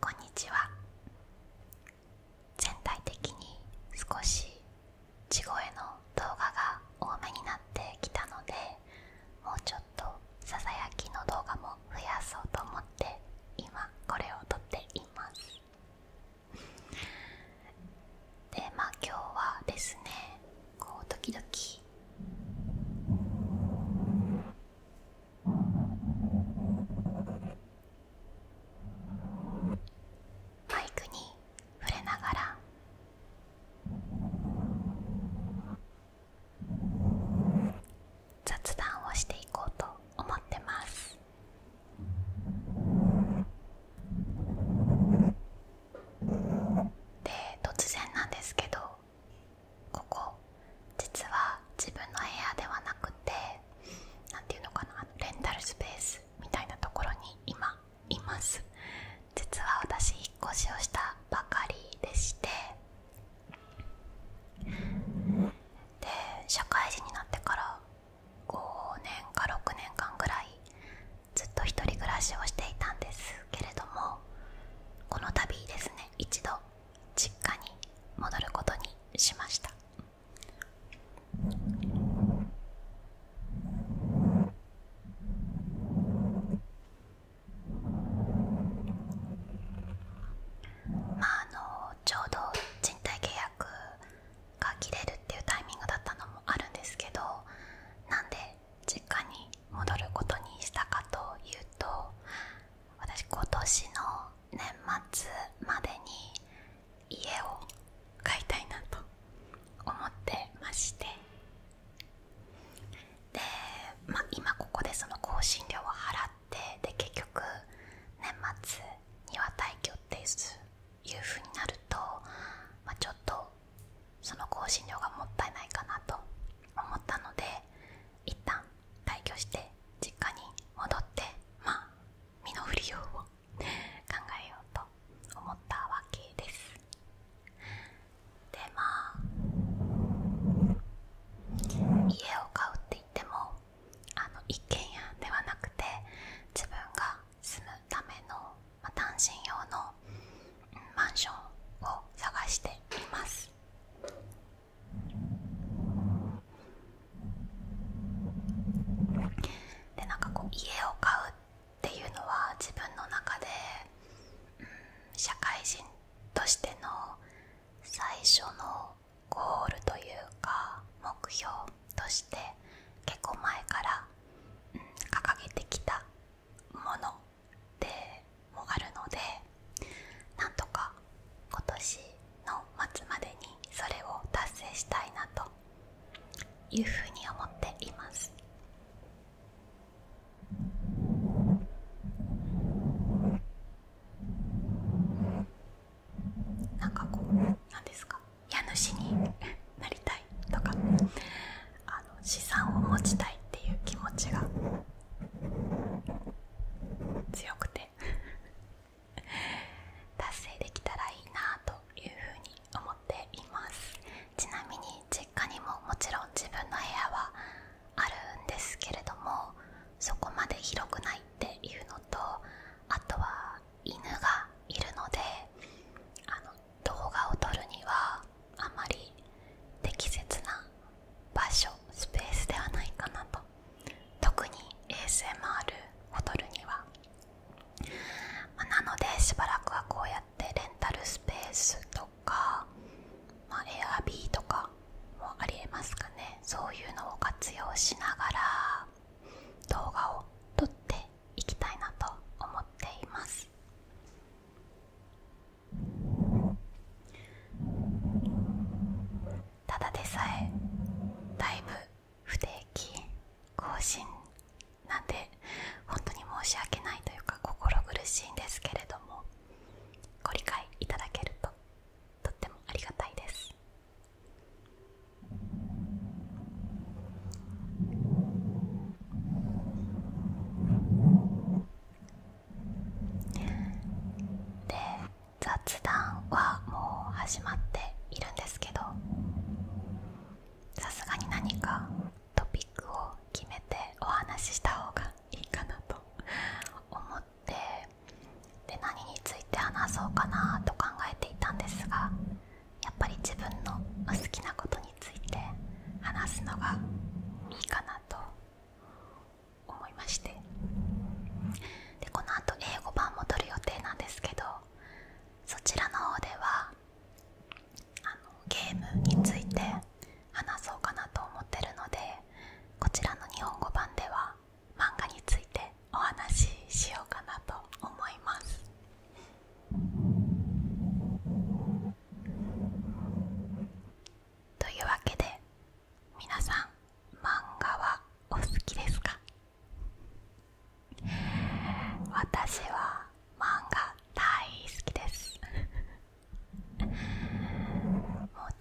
こんにちは全体的に少し地声の動画が多めになってきたのでもうちょっとささやきの動画も増やそうと思って今これを撮っていますでまあ今日はですねこう時々マイクに触れながら雑談をしていこうと思ってますで突然なんですけどここ実は自分の部屋ではなくて何て言うのかなレンタルスペースみたいなところに今います実は私引っ越しをしたばかりでしてで社会人になってから5年か6年間ぐらいずっと一人暮らしをしていたんですけれどもこの度ですね一度実家に戻ることにしましたまああのちょうど賃貸契約が切れるっていうタイミングだったのもあるんですけどなんで実家に戻ることにしたかというと私今年の年末までに家を買いたいなと思ってましてで、ま今ここでその香辛料を払ってで結局年末には退去っていういうふうになると、まあ、ちょっとその香辛料がもったいないかなと思ったので一旦退去して実家に戻ってまあ身の振りよを考えようと思ったわけですでまあ家を買うって言ってもあの一軒家ではなくて自分が住むための、まあ、単身用の、うん、マンションを探していますでなんかこう家を買うっていうのは自分の中で、うん、社会人としての最初のゴールというか目標として結構前から、うん、掲げてきたものでもあるのでなんとか今年の末までにそれを達成したいなというふうに思っています。なんかこう何ですか家主に なりたいとかあの資産を持ちたいっていう気持ちが強くて 達成できたらいいなというふうに思っていますちなみに実家にももちろん自分の部屋はあるんですけれどもそこまで広くないっていうのとあとは犬がいるのであの動画を撮るにはあまり適切な場所スペースではないかなと特に ASMR を撮るには、まなのでしばらくはこうやってレンタルスペースとか、まあ、エアビーとかもありえますかねそういうのを活用しながら動画を撮っていきたいなと思っていますただでさえだいぶ不定期更新なんで本当に申し訳ないというか心苦しいんですけれどもご理解いただけるととってもありがたいですで雑談はもう始まっているんですけどさすがに何かトピックを決めてお話しした方がいいかなと思ってで何について話そうかなと考えていたんですがやっぱり自分の好きなことについて話すのがいいかなと思いましてでこのあと英語版も撮る予定なんですけどそちらの方ではあのゲームについて話そうかなと思ってるのでこちらの日本語版では漫画についてお話ししようかなと思いますというわけで皆さん漫画はお好きですか私は漫画大好きです もう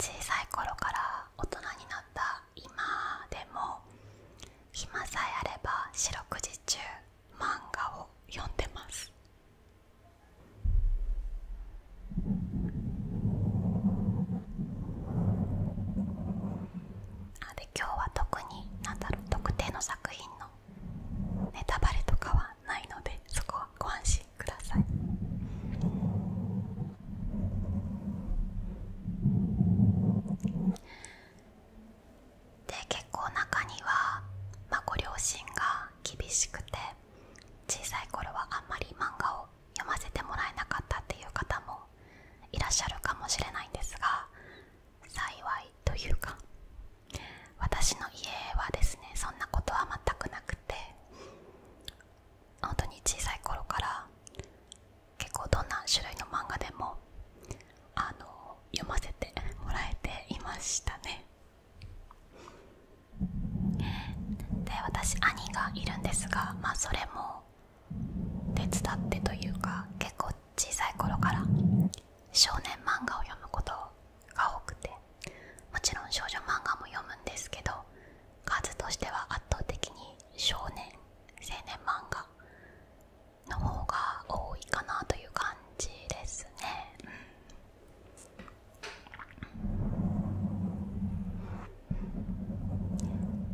小さい頃から大人になった今でも暇さえあれば四六時中漫画を読んでますあで今日は特になんだろう特定の作品のネタバレとかはないのでそこはご安心くださいで結構中には、まご両親が厳しくて小さい頃はあんまり漫画を読ませてもらえなかったっていう方もいらっしゃるかもしれないんですが幸いというか私の家はですねそんなことは全くなくて本当に小さい頃から結構どんな種類の漫画でもあの読ませて もらえていましたねで私兄がいるんですがまあそれも手伝ってというか結構小さい頃から少年漫画を読むことが多くてもちろん少女漫画も読むんですけど数としては圧倒的に少年青年漫画の方が多いかなという感じですね。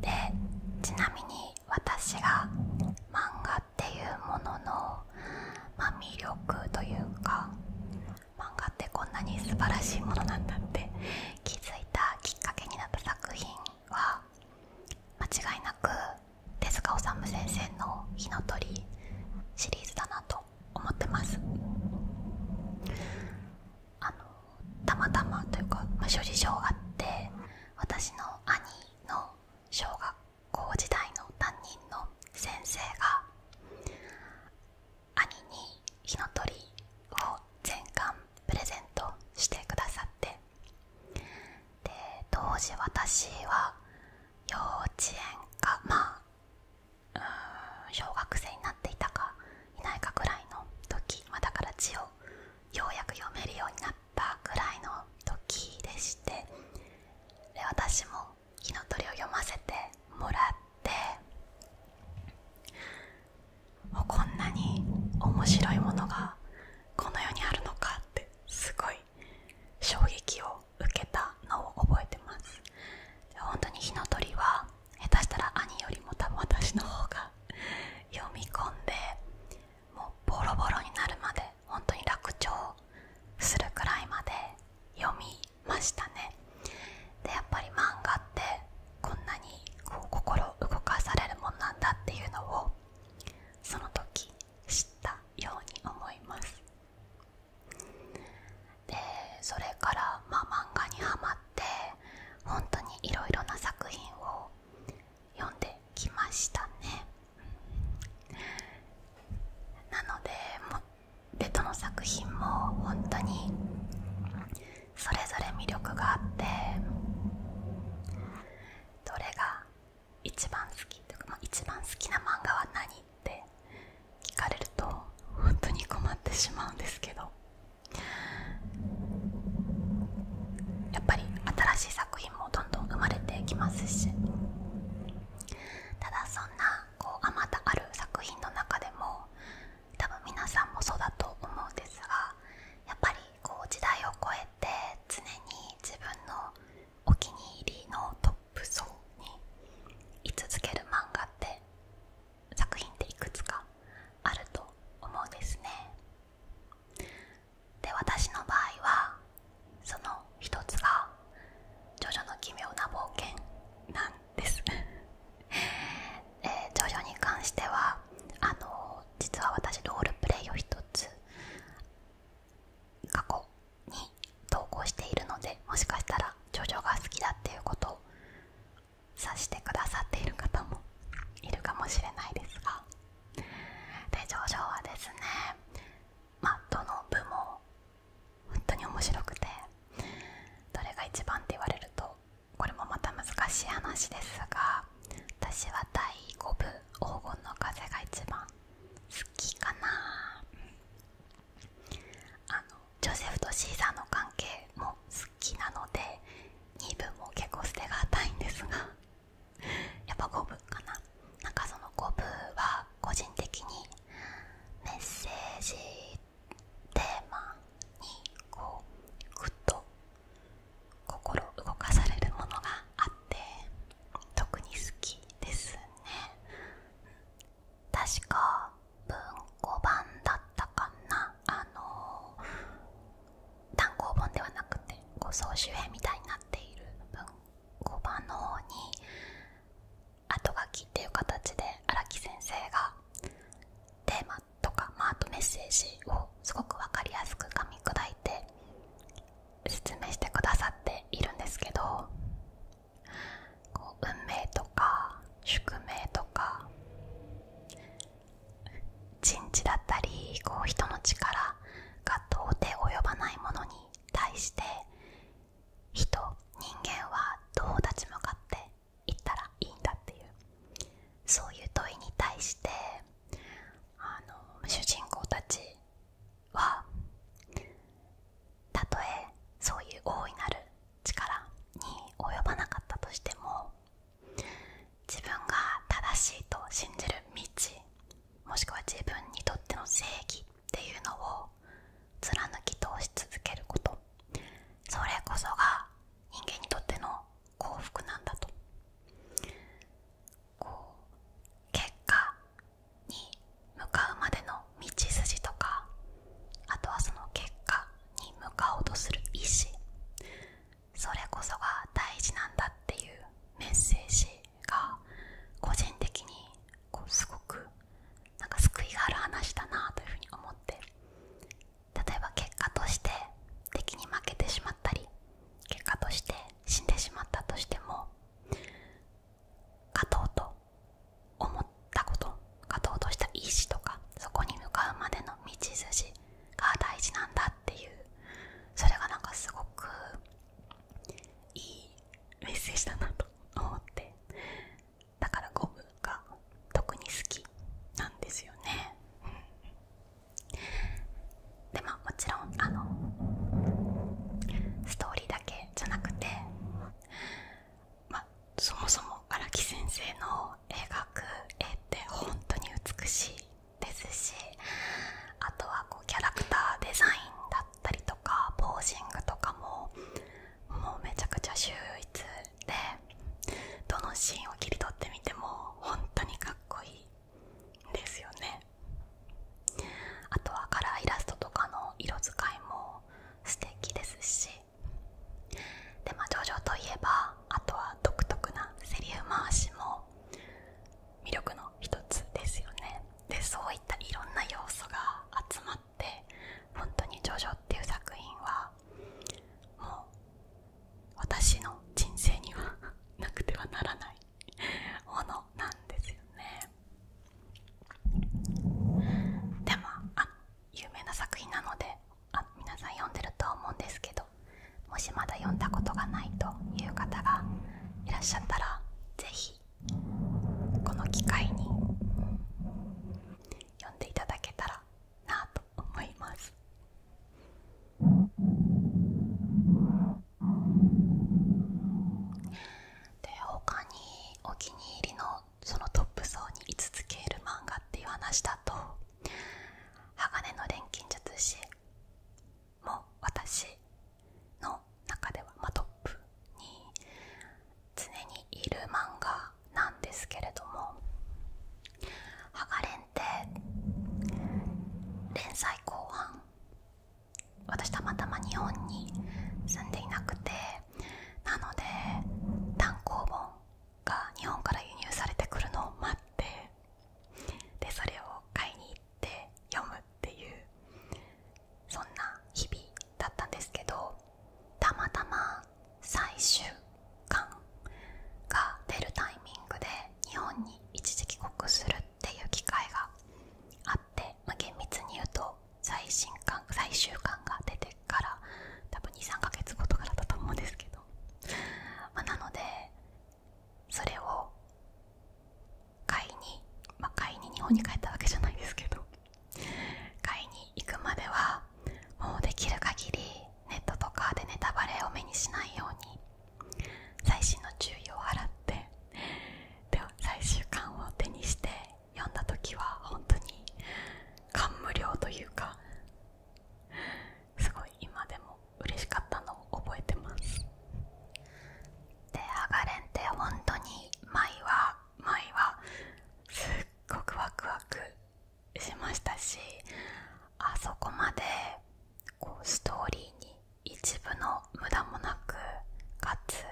でちなみに私が漫画っていうものの、まあ、魅力というか漫画ってこんなに素晴らしいものなんだって気づいたきっかけになった作品は間違いなくの「火の鳥」あのたまたまというか、あ、諸事情があって私の兄の小学校時代の担任の先生が兄に「火の鳥」を全巻プレゼントしてくださってで当時私は幼稚園かまあ小学生になっていたかいないかぐらいの時、まだから字をようやく読めるようになったぐらいの時でしてで私も「火の鳥」を読ませてもらってこんなに面白いものがこの世にあるのかってすごい衝撃を受けたのを覚えてます本当に火の鳥は下手したら兄よりも多分私の方が読み込んでもうボロボロになるまで本当に楽聴するくらいまで読みましたねでやっぱり漫画ってこんなにこう心動かされるもんなんだっていうのをその時知ったように思いますでそれから、ま漫画にはまって本当にいろいろな作品を読んできましたねなのでベトの作品も本当にそれぞれ魅力があってどれが一番好きとか、まあ、一番好きな漫画は何って聞かれると本当に困ってしまうんですけどやっぱり新しい作品もどんどん生まれてきますしただそんなこうあまたある作品の中でも多分皆さんもそうだと思うんですがやっぱりこう時代を超えて。っ常に自分のお気に入りのトップ層に居続ける漫画って作品っていくつかあると思うんですねで私の場合はその一つが「ジョジョの奇妙な冒険」なんです、えー、ジに関してはあの実は私ロールプレイを一つ過去に投稿しているのでもしかしたらジョジョが好きだっていうことを指してくださっている方もいるかもしれないですがでジョジョはですねまあどの部も本当に面白くてどれが一番って言われるとこれもまた難しい話ですが私は第5部「黄金の風」が一番好きかな、あのジョセフとシーザーの関係も好きなので2部も結構捨てがたいんですがやっぱ5部かななんかその5部は個人的にメッセージテーマにこうグッと心動かされるものがあって特に好きですね確か文庫版だったかなあの単行本ではなくてこう総集編みたいになっている文庫版の方に後書きっていう形で荒木先生がテーマとて。話とか、まあ、あメッセージをすごく分かりやすく噛み砕いて説明してくださっているんですけどこう運命とか宿命とか人事だったりこう人の力が到底及ばないものに対して人人間はどう立ち向かっていったらいいんだっていうそういう問いに対してあの主人公たちはたとえそういう大いなる力に及ばなかったとしても自分が正しいと信じる道もしくは自分にとっての正義っていうのを貫き通し続けることそれこそが人間にとっての幸福なんだとこう結果に向かうまでの道筋とかあとはその結果に向かおうとする意志それこそが大事なんだっていうメッセージが個人的にこうすごくなんか救いがある話だなというふうに思って例えば結果として敵に負けてしまったり結果として死んでしまったとしても勝とうと思ったこと勝とうとした意志とかそこに向かうまでの道筋が大事なんだっていうそれがなんかすごくいいメッセージだなと思ってだからゴムが特に好きなんですよね。うんでまあもちろんあのストーリーだけじゃなくて、まそもそも荒木先生の描く絵って本当に美しいですしあとはこうキャラクターデザインだったりとかポージングとかももうめちゃくちゃ秀逸でどのシーンを切り取ってみても本当にかっこいいですよねあとはカラーイラストとかの色使いも素敵ですしでまあジョジョといえばあとは独特なセリフ回しも魅力の一つですよねでそういったいろんな要素が集まって本当にジョジョっていう作品はもう私の人生には なくてはならないものなんですよねでもあ有名な作品なのであ皆さん読んでるとは思うんですけどもしまだ読んだことがないという方がいらっしゃったら是非この機会に読んでいただけたらなと思います。で他にお気に入りのそのトップ層に居続ける漫画っていう話だと「鋼の錬金術師」も私の中では、まトップに常にいる漫画なんですけれどもハがれンって連載後半私たまたま日本に住んでいなくてなので単行本が日本から輸入されてくるのを待ってでそれを買いに行って読むっていうそんな日々だったんですけどたまたま最終間が出るタイミングで日本に一時帰国するっていう機会があって、ま厳密に言うと最新刊最終巻が出てから多分23ヶ月後とかだったと思うんですけど、まなのでそれを買いに、ま買いに日本に帰ったわけじゃないですけど買いに行くまではもうできる限りネットとかでネタバレを目にしないように最新の注意を払ってで最終巻を手にして読んだ時は本当に感無量というかすごい今でも嬉しかったのを覚えてますでハがれんって本当に毎話毎はすっごくワクワクしましたしあそこまでこうストーリーに一部の無駄もなくかつ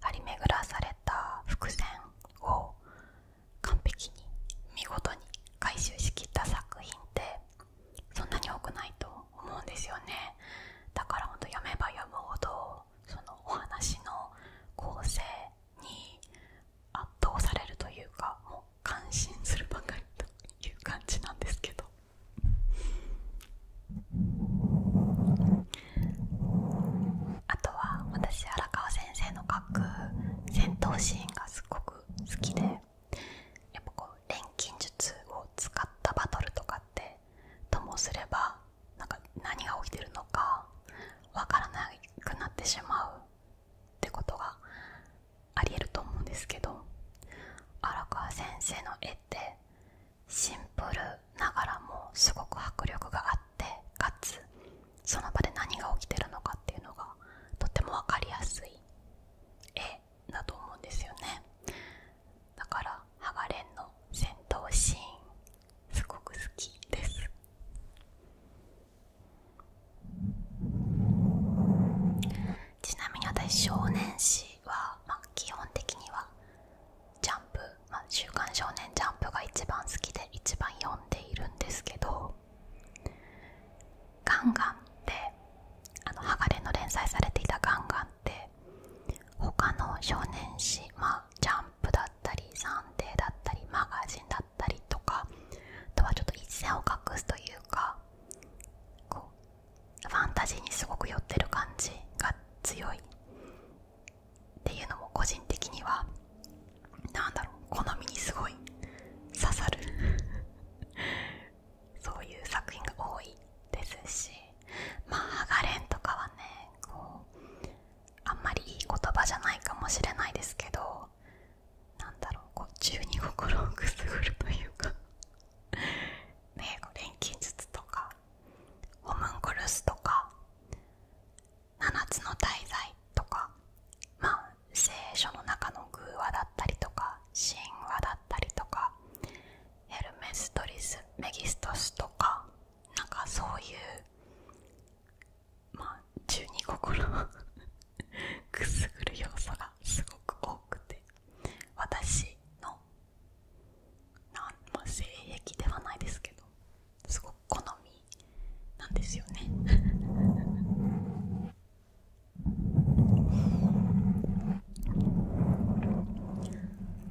張り巡らされた伏線を完璧に見事に回収しきった作品ってそんなに多くないと思うんですよねだからほん読めば読むほどそのお話の構成に圧倒されるというかもう感心するばかりという感じなんですけどあとは私荒川先生の書く戦闘シーンがすごく好きでやっぱこう錬金術を使ったバトルとかってともすればなんか何が起きてるのかわからなくなってしまうってことがありえると思うんですけど荒川先生の絵ってシンプルながらもすごく迫力があってかつその場で何が起きてるのかっていうのがとっても分かりやすい絵だと思うんですよねだからハガレンの戦闘シーンすごく好きですちなみに私少年誌は、ま基本的には「ジャンプ」まあ「週刊少年ジャンプ」が一番好きで一番読んでいるんですけどガンガンってあの鋼の連載されていたガンガンって他の少年誌まあジャンプだったり暫定だったりマガジンだたりとかあとはちょっと一線を画すというかこうファンタジーにすごく寄ってる感じが強いっていうのも個人的には何だろう好みにすごい刺さる そういう作品が多いですしまあ「ハガレン」とかはねこうあんまりいい言葉じゃないかもしれないですけどなんだろうこう十二心をくすぐるというかねえ 錬金術とかホムンクルスとか七つの大罪とかまあ聖書の中の偶話だったりとか神話だったりとかエルメストリスメギストスとかなんかそういうまあ12個くすぐる要素がすごく多くて私のなん、まあ、性ではないですけどすごく好みなんですよね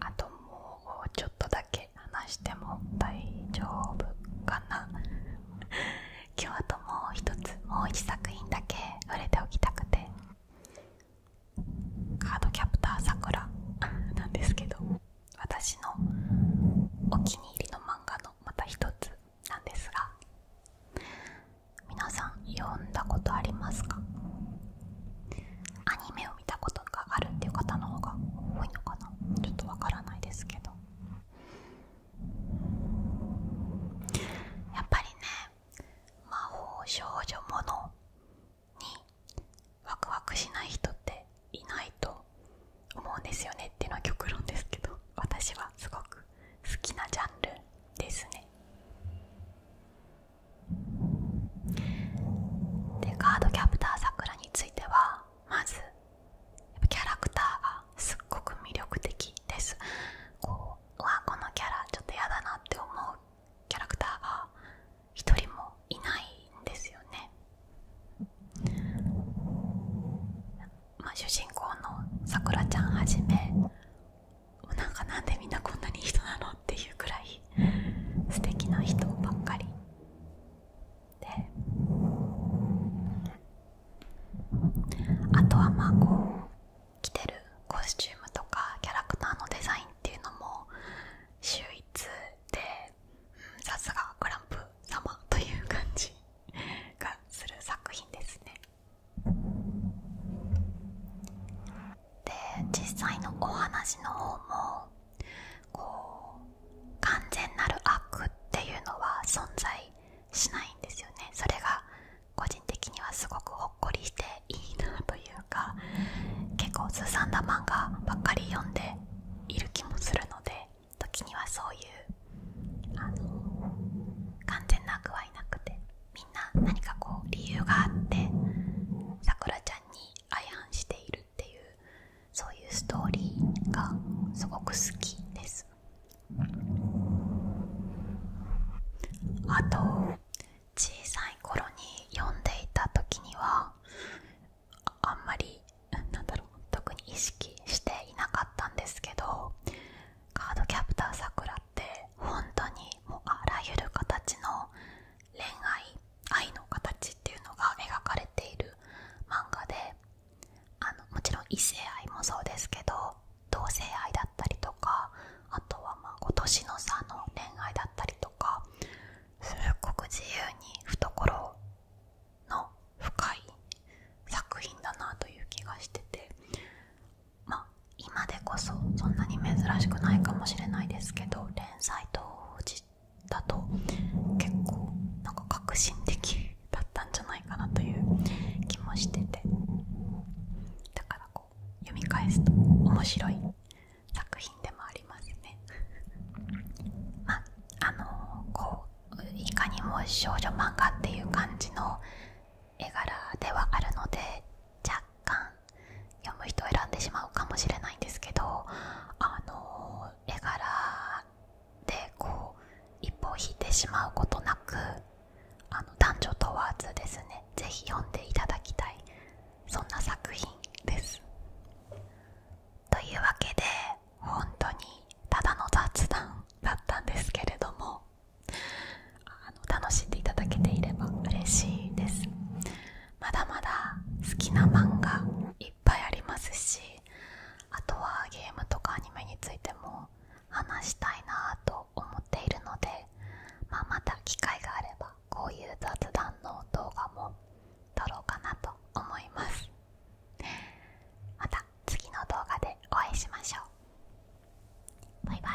あともうちょっとだけ話しても大丈夫かな今日あともう一つもう一作品だけ触れておきたくてカードキャプターさくら なんですけど私のお気に入りの漫画のまた一つなんですが皆さん読んだことありますかアニメを見たことがあるっていう方の方が多いのかなちょっとわからないですけどやっぱりね魔法少女ものにワクワクしない人っていないと思うんですよねっていうのは極論ですけど私はすごく好きなジャンルですねでカードキャプターさくらについてはまずキャラクターがすっごく魅力的ですこううわこのキャラちょっと嫌だなって思うキャラクターが一人もいないんですよねま主人公のさくらちゃんはじめなんかなんでみんなこんなに人なのっていうくらい素敵な人ばっかりであとはまあこう着てるコスチュームとかキャラクターのデザインっていうのも秀逸でさすがグランプ様という感じ がする作品ですねで実際のお話の方もこう完全なる悪っていうのは存在しないんですよねそれが個人的にはすごくほっこりしていいなというか結構ずさんな漫画ばっかり読んでいる気もするので時にはそういう完全な具合なくてみんな何かこう理由があってさくらちゃんに相反しているっていうそういうストーリーがすごく好きです。あと小さい頃に読んでいた時にはあんまりなんだろう特に意識していなかったんですけどカードキャプターさくらって本当にもうあらゆる形の恋愛愛の形っていうのが描かれている漫画であのもちろん異性愛もそうですけど同性愛だったりとかあとはまあ今年の差の恋愛だったりとかすっごく自由に懐の深い作品だなという気がしててま今でこそそんなに珍しくないかもしれないですけど連載当時だと結構なんか革新的だったんじゃないかなという気もしててだからこう読み返すと面白い作品でもありますね まああのこういかにも少女漫画っていう感じの絵柄ではあるので若干読む人を選んでしまうかもしれないんですけどあの絵柄でこう一歩引いてしまうことなくあの男女問わずですね是非読んでいただきたいそんな作品です。というわけで本当にただの雑談だったんですけれどもあの楽しんでいただけていれば嬉しいです。まだまだ好きな漫画いっぱいありますしあとはゲームとかアニメについても話したいなと思っているので、まあ、また機会があればこういう雑談の動画も撮ろうかなと思います また次の動画でお会いしましょうバイバイ